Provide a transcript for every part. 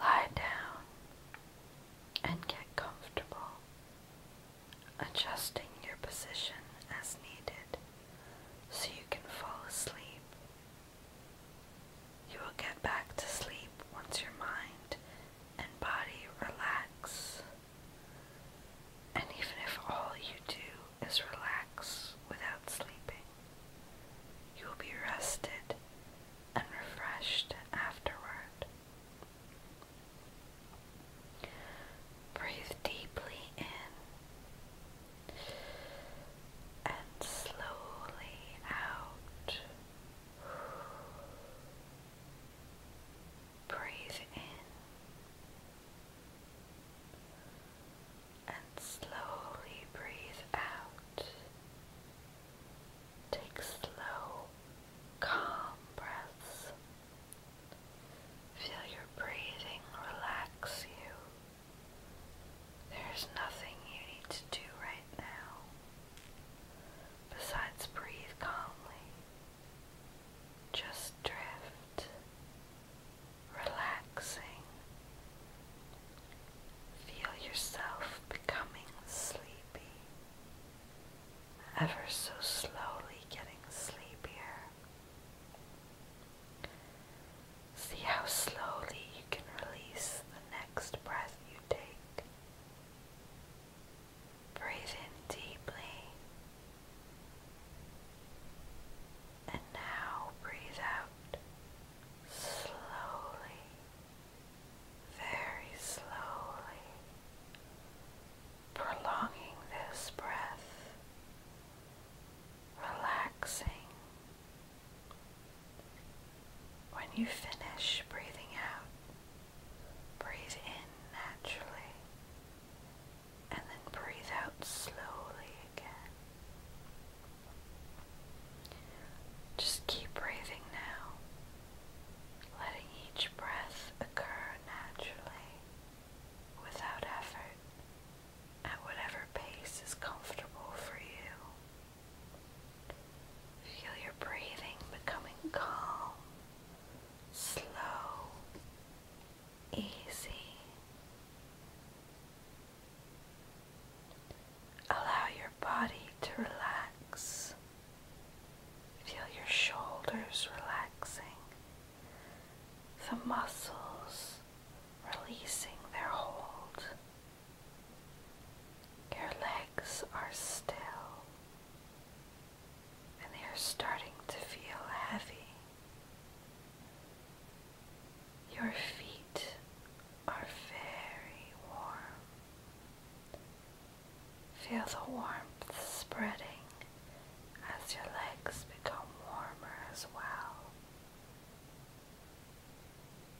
Lie down and get comfortable, adjusting your position as needed so you can fall asleep. You will get back to sleep once your mind and body relax. And even if all you do is relax without sleeping, you will be rested and refreshed afterward. Breathe deeply in and slowly out. Breathe in and slowly breathe out. Take slow, calm breaths. Feel your breathing relax you. There's nothing you need to do right now besides breathe calmly. Just drift relaxing. Feel yourself becoming sleepy, ever so slowly getting sleepier. See how slowly you can release the next breath you take. Breathe in deeply. And now breathe out slowly, very slowly, prolonging this breath, relaxing. When you finish breathing out, breathe in naturally and then breathe out slowly again. Just keep breathing now, letting each breath occur naturally without effort at whatever pace is comfortable for you. Feel your breathing becoming calm slow, easy. Allow your body to relax. Feel your shoulders relaxing, the muscles releasing their hold. Your legs are still and they are starting to feel heavy. Your feet are very warm. Feel the warmth spreading as your legs become warmer as well.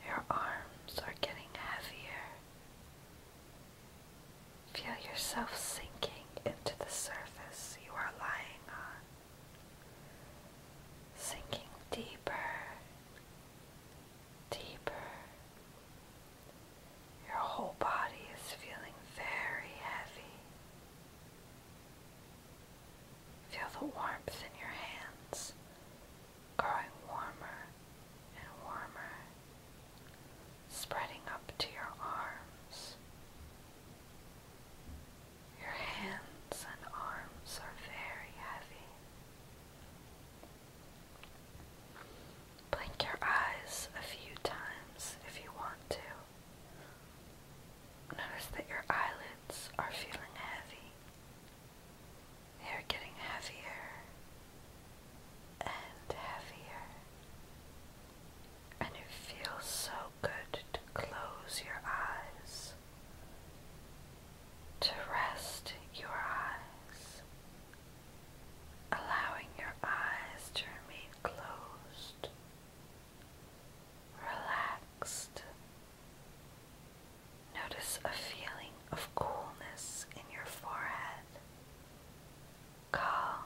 Your arms are getting heavier Feel yourself sinking into the surface you are lying on, sinking deeper, deeper. Your whole body is feeling very heavy. Feel the warmth in your hands growing warmer and warmer spreading up to your arms. Your hands and arms are very heavy. Blink your eyes a few times if you want to. Notice that your eyelids are feeling heavy. They are getting heavier and heavier. And it feels so good to close your eyes, to rest your eyes, allowing your eyes to remain closed, relaxed. Notice a feeling of coolness in your forehead calm,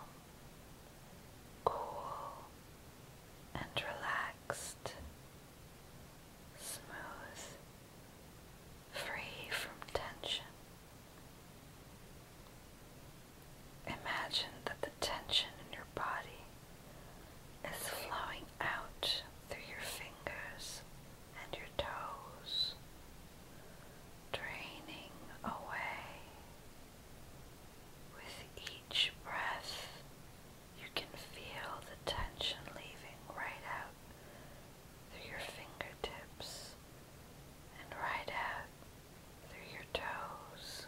cool, and relaxed, smooth, free from tension. Imagine that the tension in your body is flowing out through your fingers and your toes draining away. With each breath, you can feel the tension leaving right out through your fingertips and right out through your toes.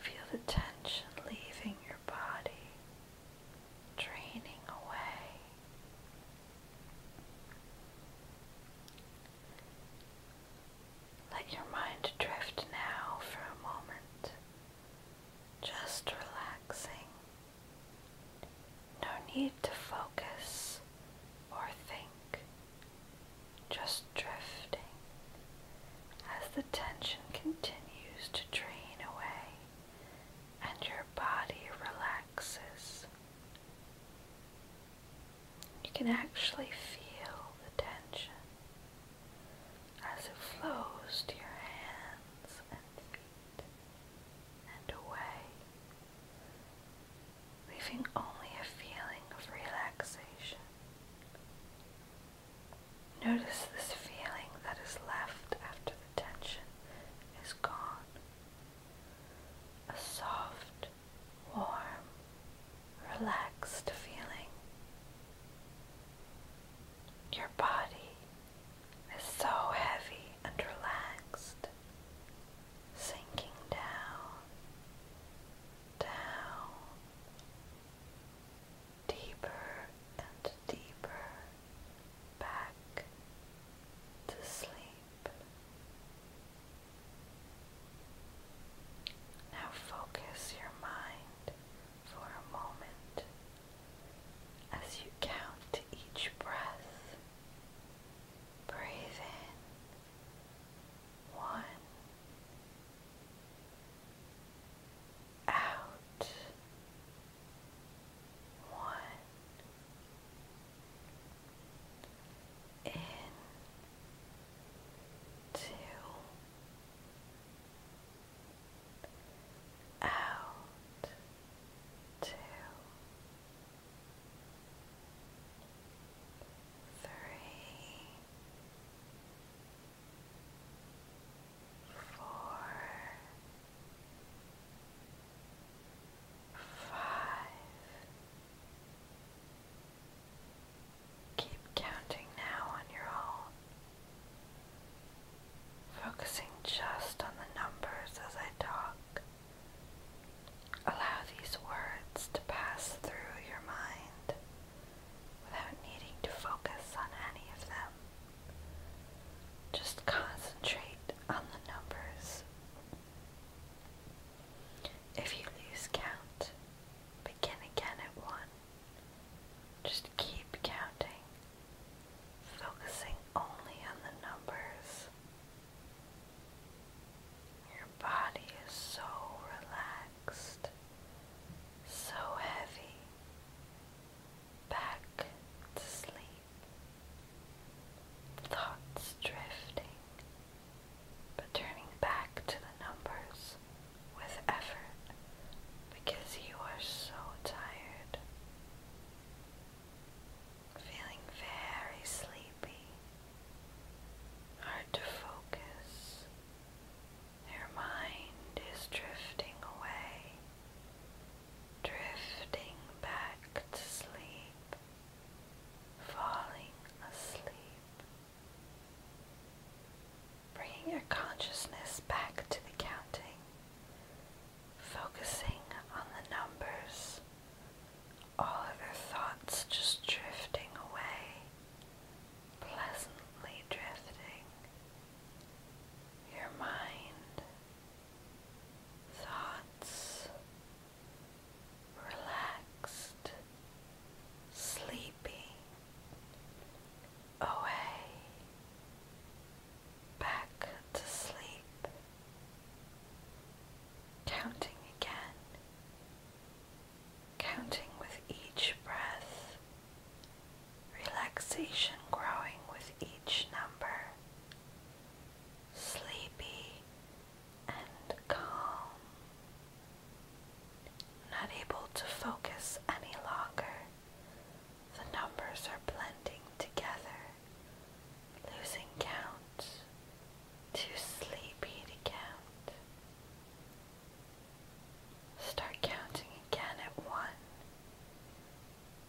Feel the tension leaving your body draining away. Let your mind drift now for a moment, just relaxing. No need to focus or think, just drifting as the tension continues to drain away and your body relaxes. You can actually feel the tension as it flows to your hands and feet and away, leaving only a feeling of relaxation. Notice this feeling that is left after tension is gone. A soft, warm, relaxed feeling. Your body is so heavy and relaxed, sinking down, down, deeper and deeper back to sleep. Now focus your mind for a moment as you count each breath. Breathe in one, out one in two out two three four, five. Keep counting now on your own, focusing just on the numbers as I talk. Allow these words to pass through your mind without needing to focus on any of them. Just concentrate on the numbers. If you lose count, begin again at one. Just keep counting, focusing only on the numbers. Your body is so relaxed, so heavy, back to sleep. Thoughts drifting, but turning back to the numbers with effort because you are so tired. Feeling very sleepy, hard to focus, their mind is drifting away, drifting back to sleep, falling asleep. Bringing your consciousness back to the counting, focusing on the numbers, all other thoughts just drifting away, pleasantly drifting your mind, thoughts, relaxed, sleepy, away, back to sleep, counting again counting with each breath, relaxation growing with each number, sleepy and calm, not able to focus any longer. The numbers are blending together, losing count, too sleepy to count. Start counting again at one,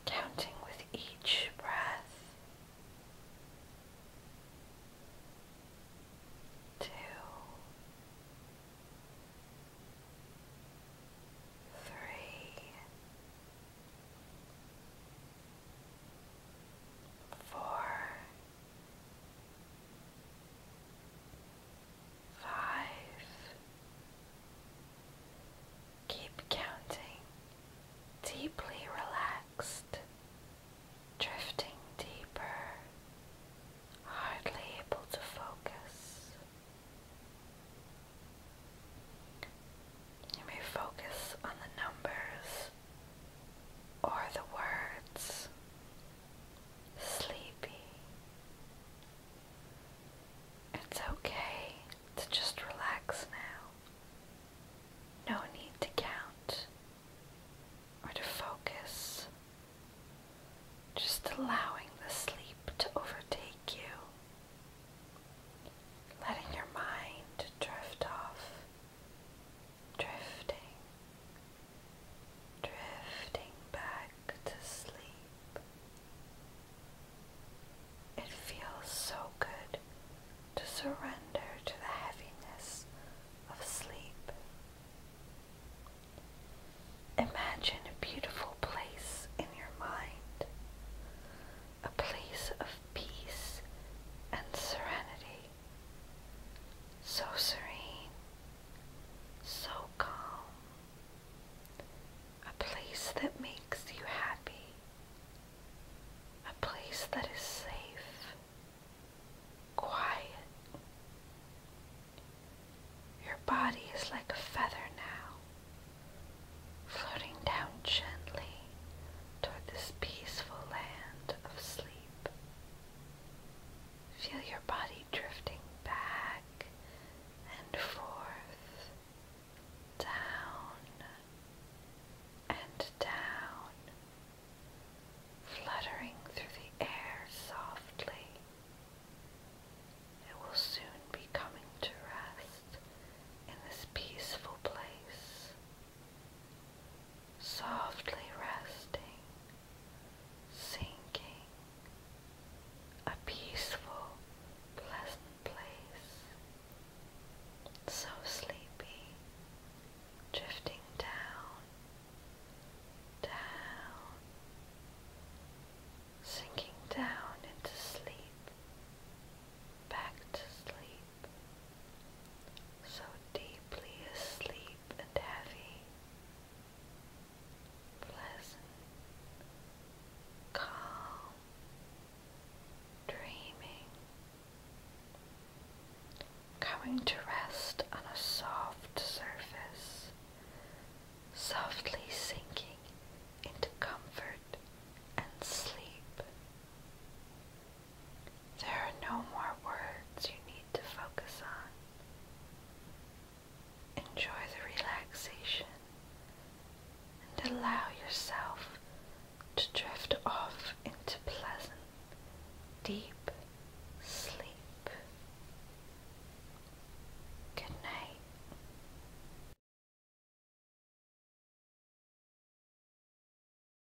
counting with each breath. Two, three, four, Five. Keep counting, deeply relaxed, drifting deeper, hardly able to focus. You may focus on the numbers or the words sleepy. It's okay to just relax now. No need to count or to focus. Just allowing the sleep to overtake you. Letting your mind drift off, drifting, drifting back to sleep. It feels so good to surrender to the heaviness of sleep. Imagine a beautiful place in your mind, a place of peace and serenity so serene, so calm, a place that makes you happy, a place that is safe, quiet. Your body is like a feather now, floating down gently toward this peaceful land of sleep. Feel your body drifting back and forth, down and down, fluttering through the air softly. It will soon be coming to rest in this peaceful place softly resting, sinking, a peaceful, pleasant place, so sleepy, drifting down, down, sinking down into sleep, back to sleep so deeply asleep and heavy, pleasant, calm, dreaming, coming to rest on a soft surface, softly sinking into comfort and sleep. There are no more words you need to focus on. Enjoy the relaxation and allow yourself to drift off into pleasant, deep sleep. Good night.